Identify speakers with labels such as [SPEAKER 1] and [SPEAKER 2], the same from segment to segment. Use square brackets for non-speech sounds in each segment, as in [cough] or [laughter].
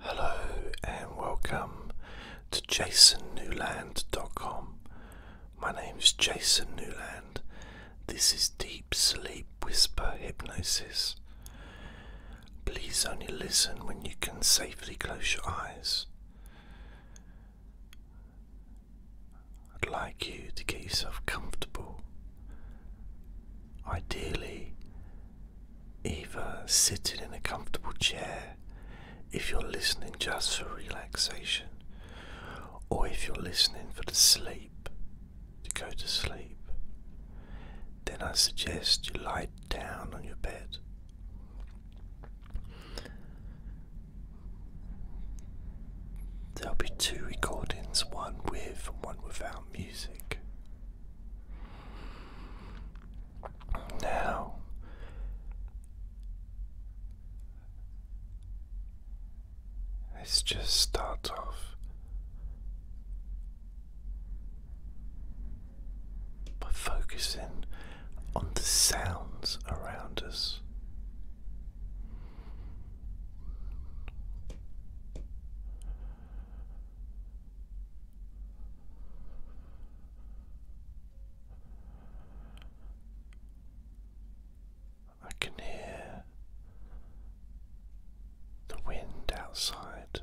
[SPEAKER 1] Hello and welcome to jasonnewland.com. My name is Jason Newland. This is Deep Sleep Whisper Hypnosis. Please only listen when you can safely close your eyes. I'd like you to get yourself comfortable, ideally either sitting in a comfortable chair if you're listening just for relaxation, or if you're listening for the sleep, to go to sleep, then I suggest you lie down on your bed. There'll be two recordings, one with and one without music. Now, let's just start off by focusing on the sounds around us. I can hear the wind outside.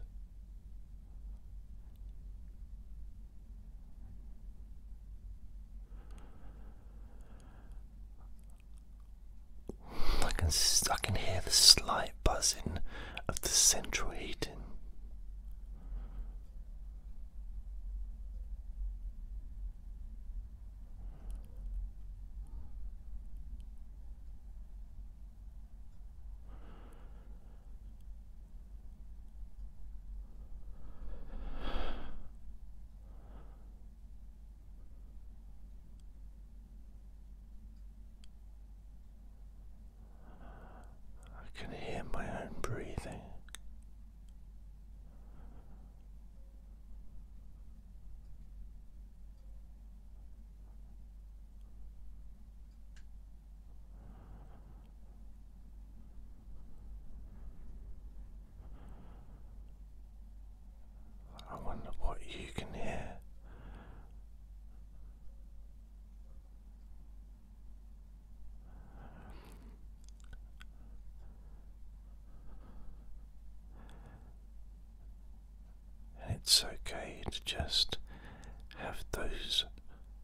[SPEAKER 1] I can I can hear the slight buzzing of the central heating. I can hear my own breathing. I wonder what you can hear and it's okay to just have those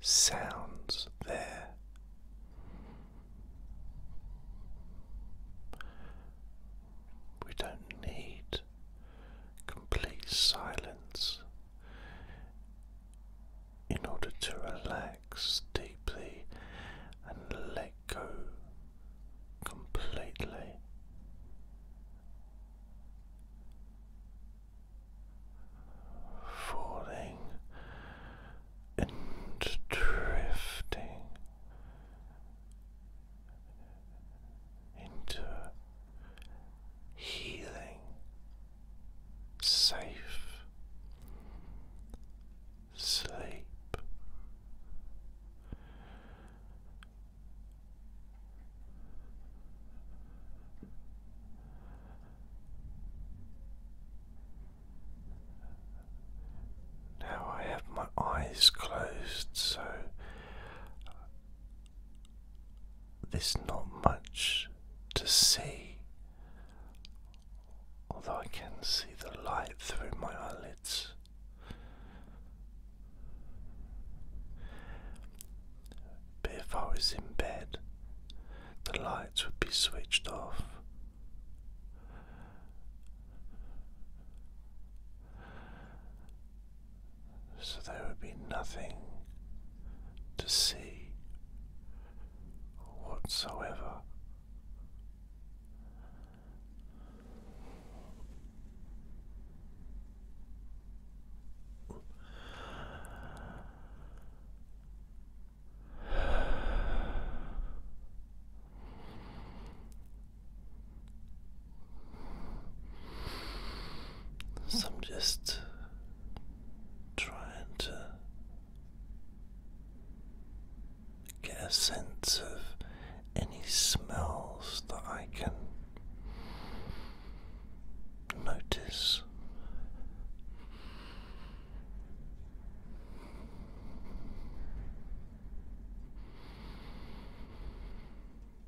[SPEAKER 1] sounds there. We don't need complete silence in order to relax deeply and let go completely. Falling and drifting into healing, safe sleep. Now I have my eyes closed, so there's not much to see, although I can see the light through my eyelids. But if I was in bed, the lights would be switched off so there would be nothing to see whatsoever. So I'm just trying to get a sense of any smells that I can notice.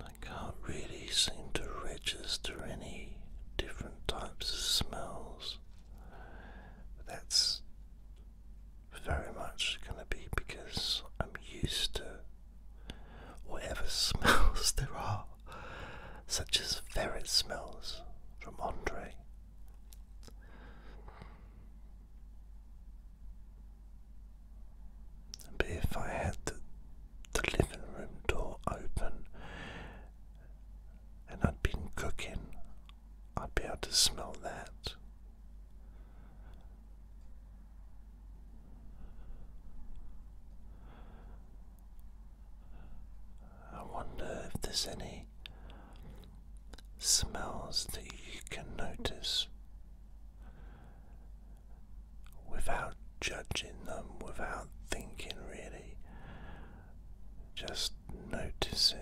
[SPEAKER 1] I can't really seem to register any different types of smells. But that's very much going to be because I'm used to whatever [laughs] smells there are, such as ferret smells from Andre. But if I had to the living room door open and I'd been cooking, I'd be able to smell that. I wonder if there's any smells that you can notice without judging them, without thinking really, just noticing.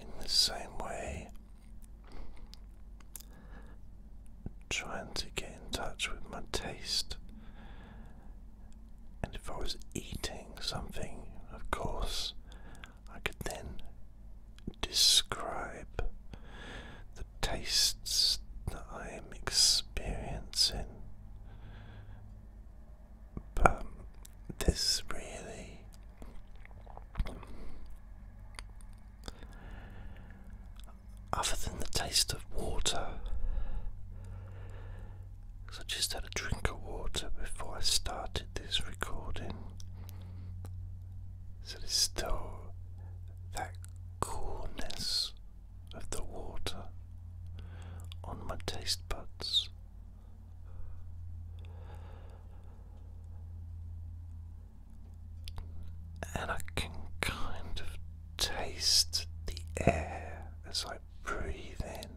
[SPEAKER 1] In the same way, trying to get in touch with my taste. And if I was eating something, of course, I could then describe the tastes that I am experiencing but this really other than the taste of water because I just had a drink of water before I started this recording so there's still that coolness of the water on my taste buds and I can kind of taste the air as I breathe in,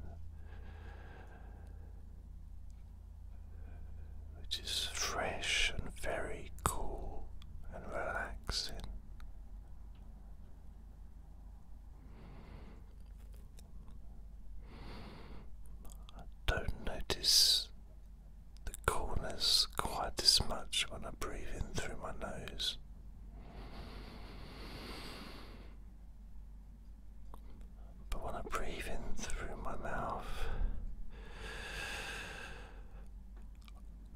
[SPEAKER 1] which is fresh and very cool and relaxing. I don't notice the corners quite as much when I breathe in through my nose. But when I breathe in through my mouth,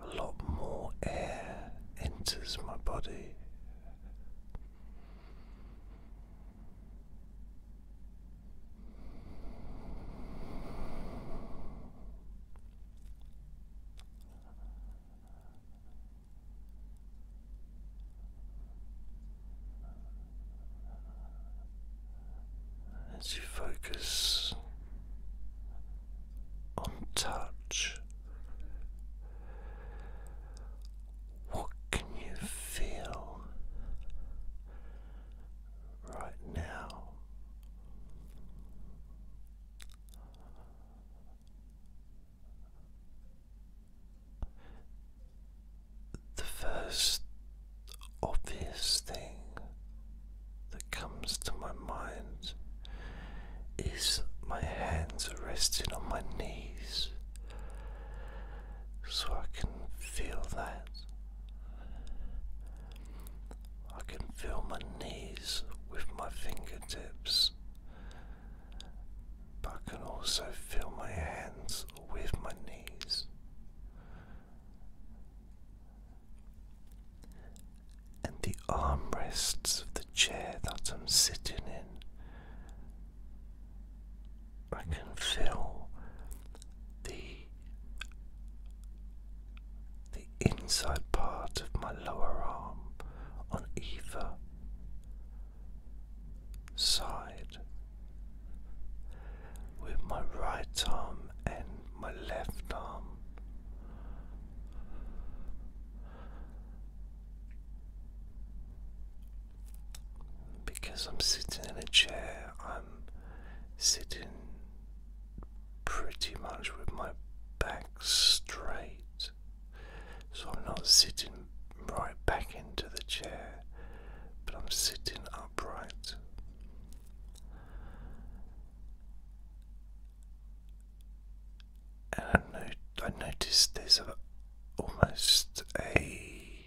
[SPEAKER 1] a lot more air enters my body. As you focus on touch, what can you feel right now? The first obvious thing that comes to my mind is my hands resting on my knees so I can feel that. I can feel my knees with my fingertips, but I can also feel my hands with my knees. And the armrests of the chair that I'm sitting in I can feel the the inside part of my lower arm on either side with my right arm and my left arm because I'm sitting in a chair, I'm sitting pretty much with my back straight, so I'm not sitting right back into the chair, but I'm sitting upright. And I, not I noticed there's a, almost a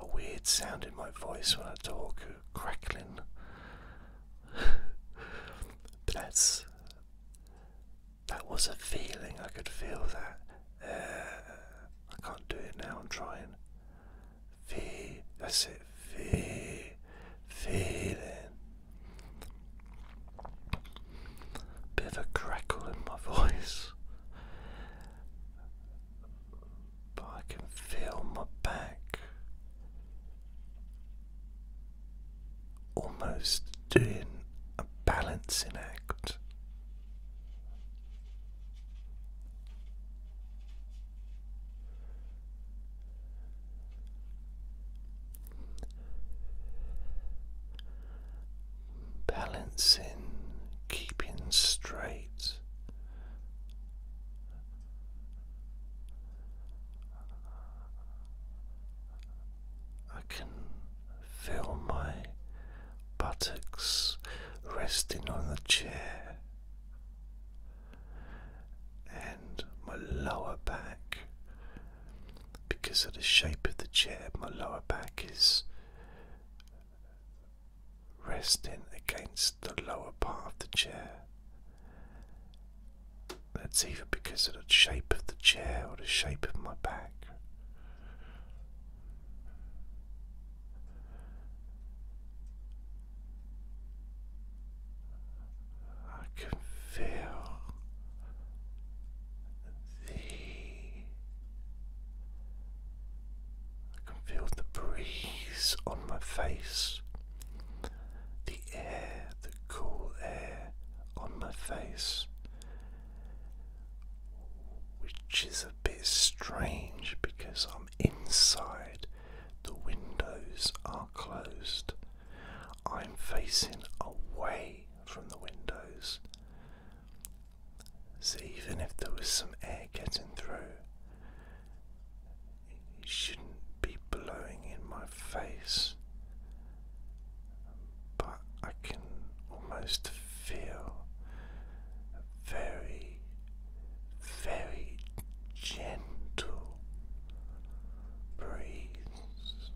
[SPEAKER 1] a weird sound in my voice when I talk, crackling. but [laughs] that's that was a feeling. I could feel that. Uh, I can't do it now. I'm trying. Feel. That's it. Feel. Feeling. Bit of a crackle in my [laughs] voice. But I can feel my back almost doing a balancing act balancing, keeping straight. I can feel my buttocks resting on the chair and my lower back because of the shape of the chair, my lower back is resting against the lower part of the chair. That's either because of the shape of the chair or the shape of my back. I can feel the I can feel the breeze on my face, the air, the cool air on my face, which is a bit strange because I'm inside, the windows are closed, I'm facing away from the windows. So even if there was some air getting through, it shouldn't be blowing in my face. But I can almost feel a very, very gentle breeze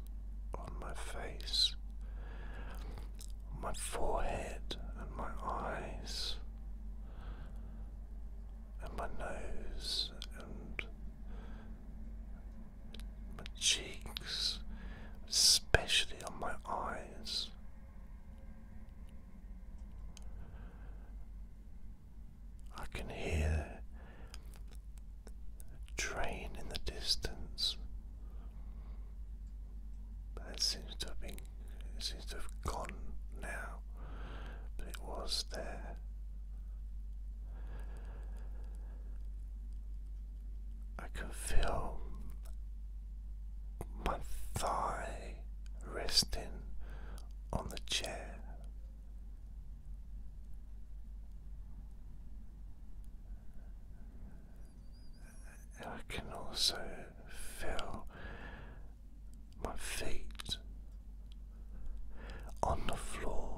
[SPEAKER 1] on my face my forehead and my eyes and my nose and my cheeks, especially on my eyes. I can hear a train in the distance. But seems to have been it seems to have gone now. But it was there. I can feel my thigh resting on the chair. I can also feel my feet on the floor.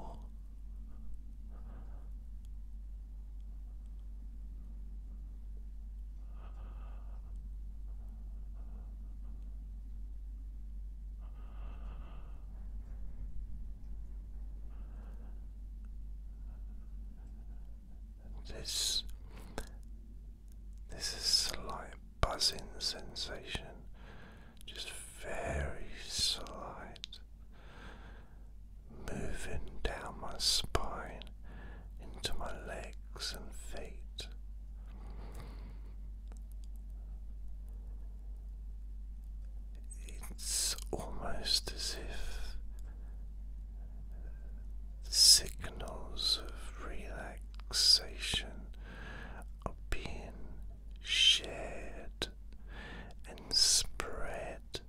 [SPEAKER 1] This this is slight buzzing sensation, just very slight, moving down my spine into my legs and feet. It's almost as if signals of relaxation are being shared and spread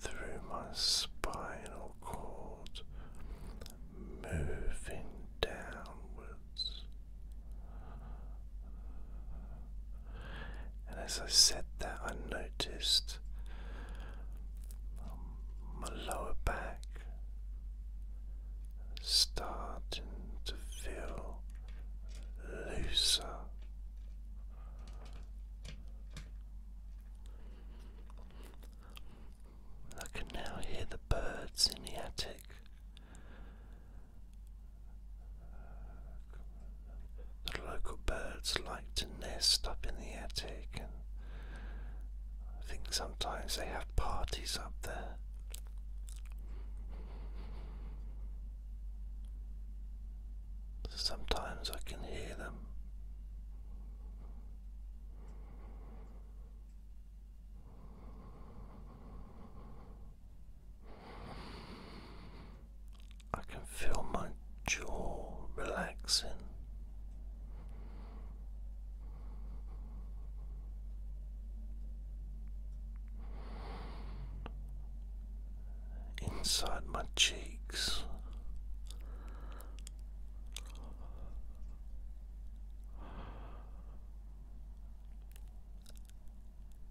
[SPEAKER 1] through my spinal cord, moving downwards. And as I said that, I noticed um, my lower back starting to feel looser. I can now hear the birds in the attic. The local birds like to nest up in the attic, and I think sometimes they have parties up there. Sometimes I can hear them. I can feel my jaw relaxing. Inside my cheeks,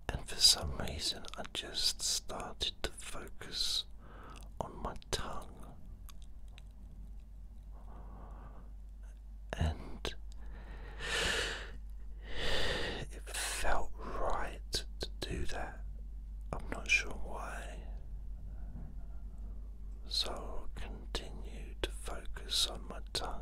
[SPEAKER 1] and for some reason, I just started to focus on my tongue. And it felt right to do that. I'm not sure why. So I'll continue to focus on my tongue.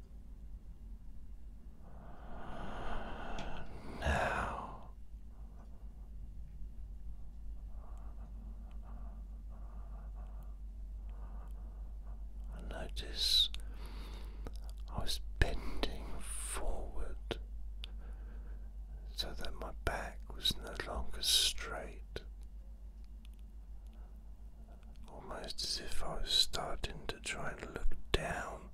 [SPEAKER 1] Now I notice I was bending forward so that my back was no longer straight almost as if I was starting to try and look down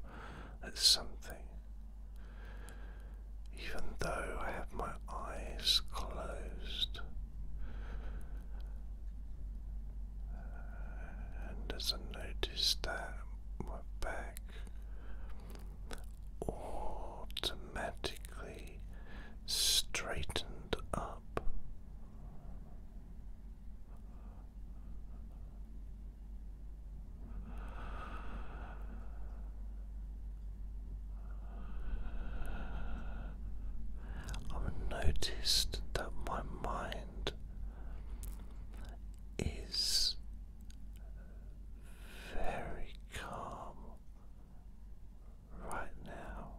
[SPEAKER 1] at something, even though I have my eyes closed. And as I notice that, my back automatically straightened up. I've noticed that my mind is very calm right now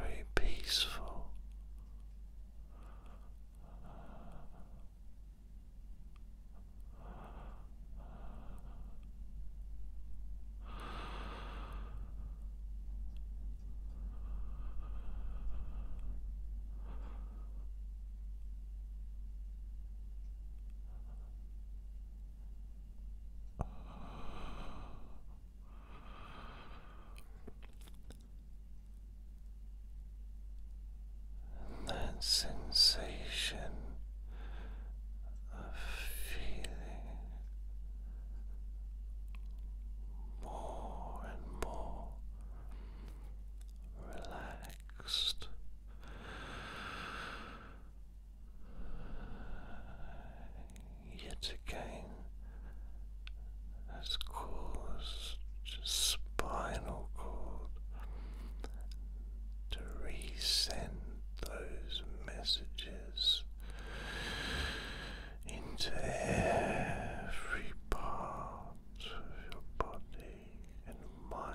[SPEAKER 1] very peaceful that sensation of feeling more and more relaxed. Yet again, has caused spinal cord to resend those messages into every part of your body and mind.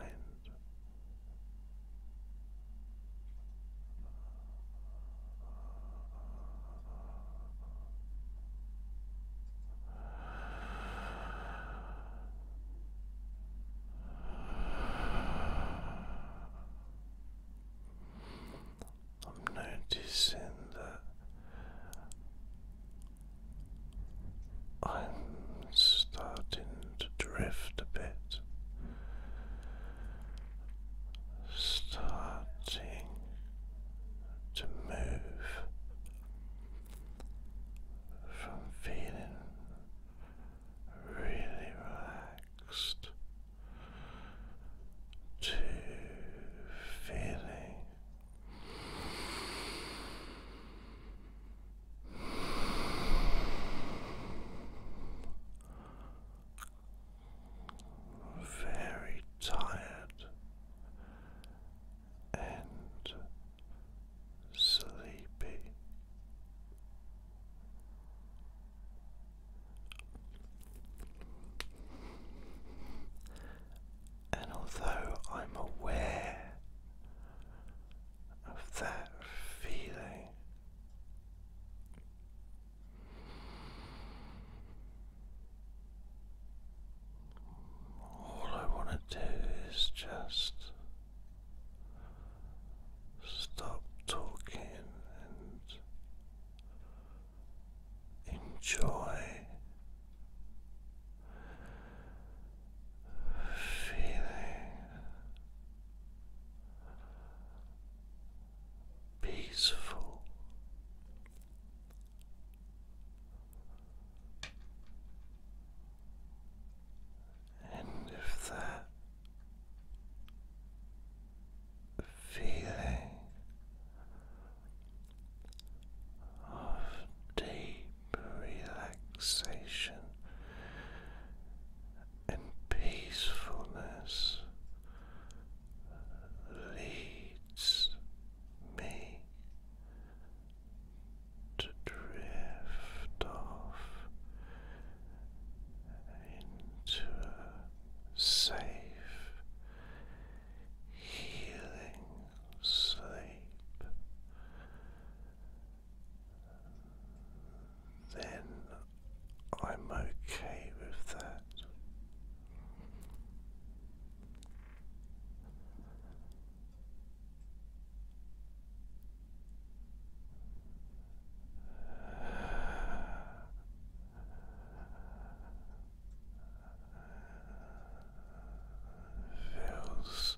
[SPEAKER 1] I'm noticing that I'm starting to drift a bit, starting to move from feeling really relaxed to feeling very tired and sleepy. And although I'm aware of that feeling, all I want to do is just stop talking and enjoy feeling peaceful. And if that feeling of deep relaxation and peacefulness leads me to drift off into safe healing sleep. Then I'm okay with that feels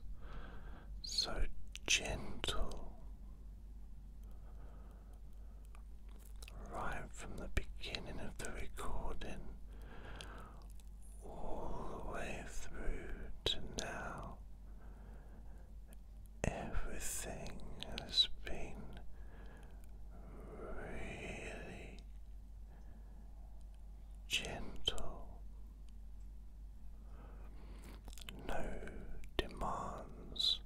[SPEAKER 1] so gentle right from the beginning of the recording all the way through to now. Everything has been really gentle, no demands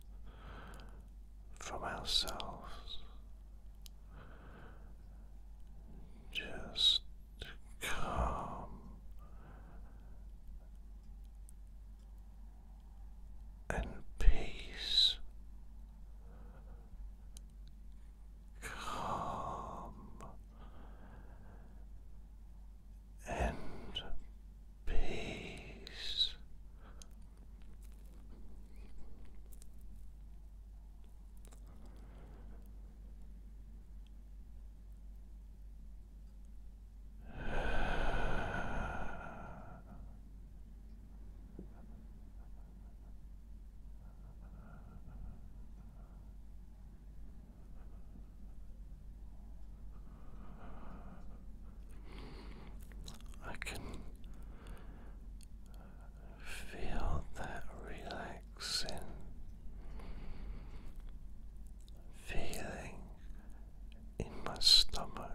[SPEAKER 1] from ourselves, just calm. And peace calm and peace. I can feel that relaxing feeling in my stomach.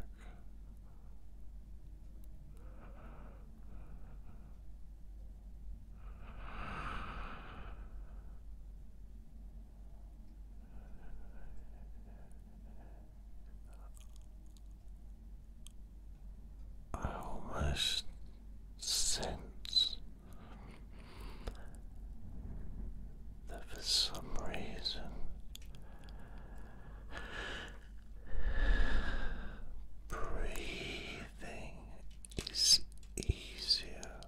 [SPEAKER 1] I almost sense that for some reason Breathing is easier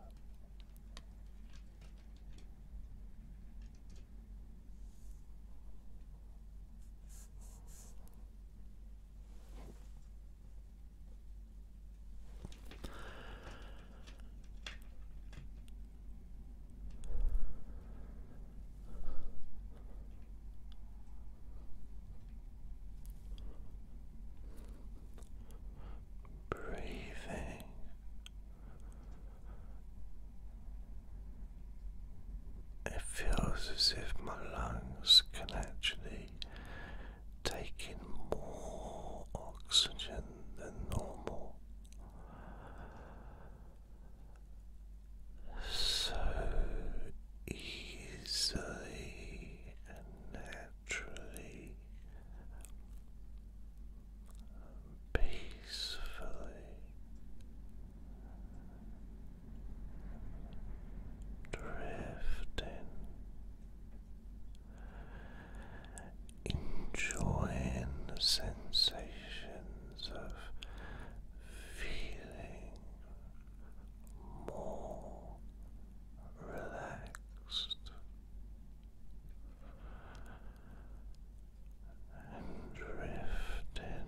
[SPEAKER 1] breathing. It feels as if my lungs can actually take in more oxygen than normal so easily and naturally, peacefully, drifting. Enjoying the sensations of feeling more relaxed and in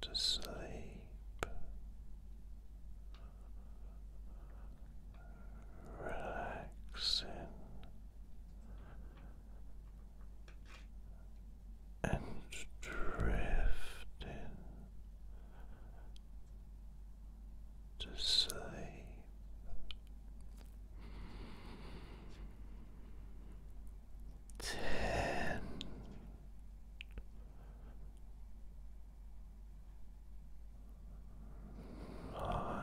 [SPEAKER 1] to sleep. Relaxing and drift in. to sleep. Ten. Nine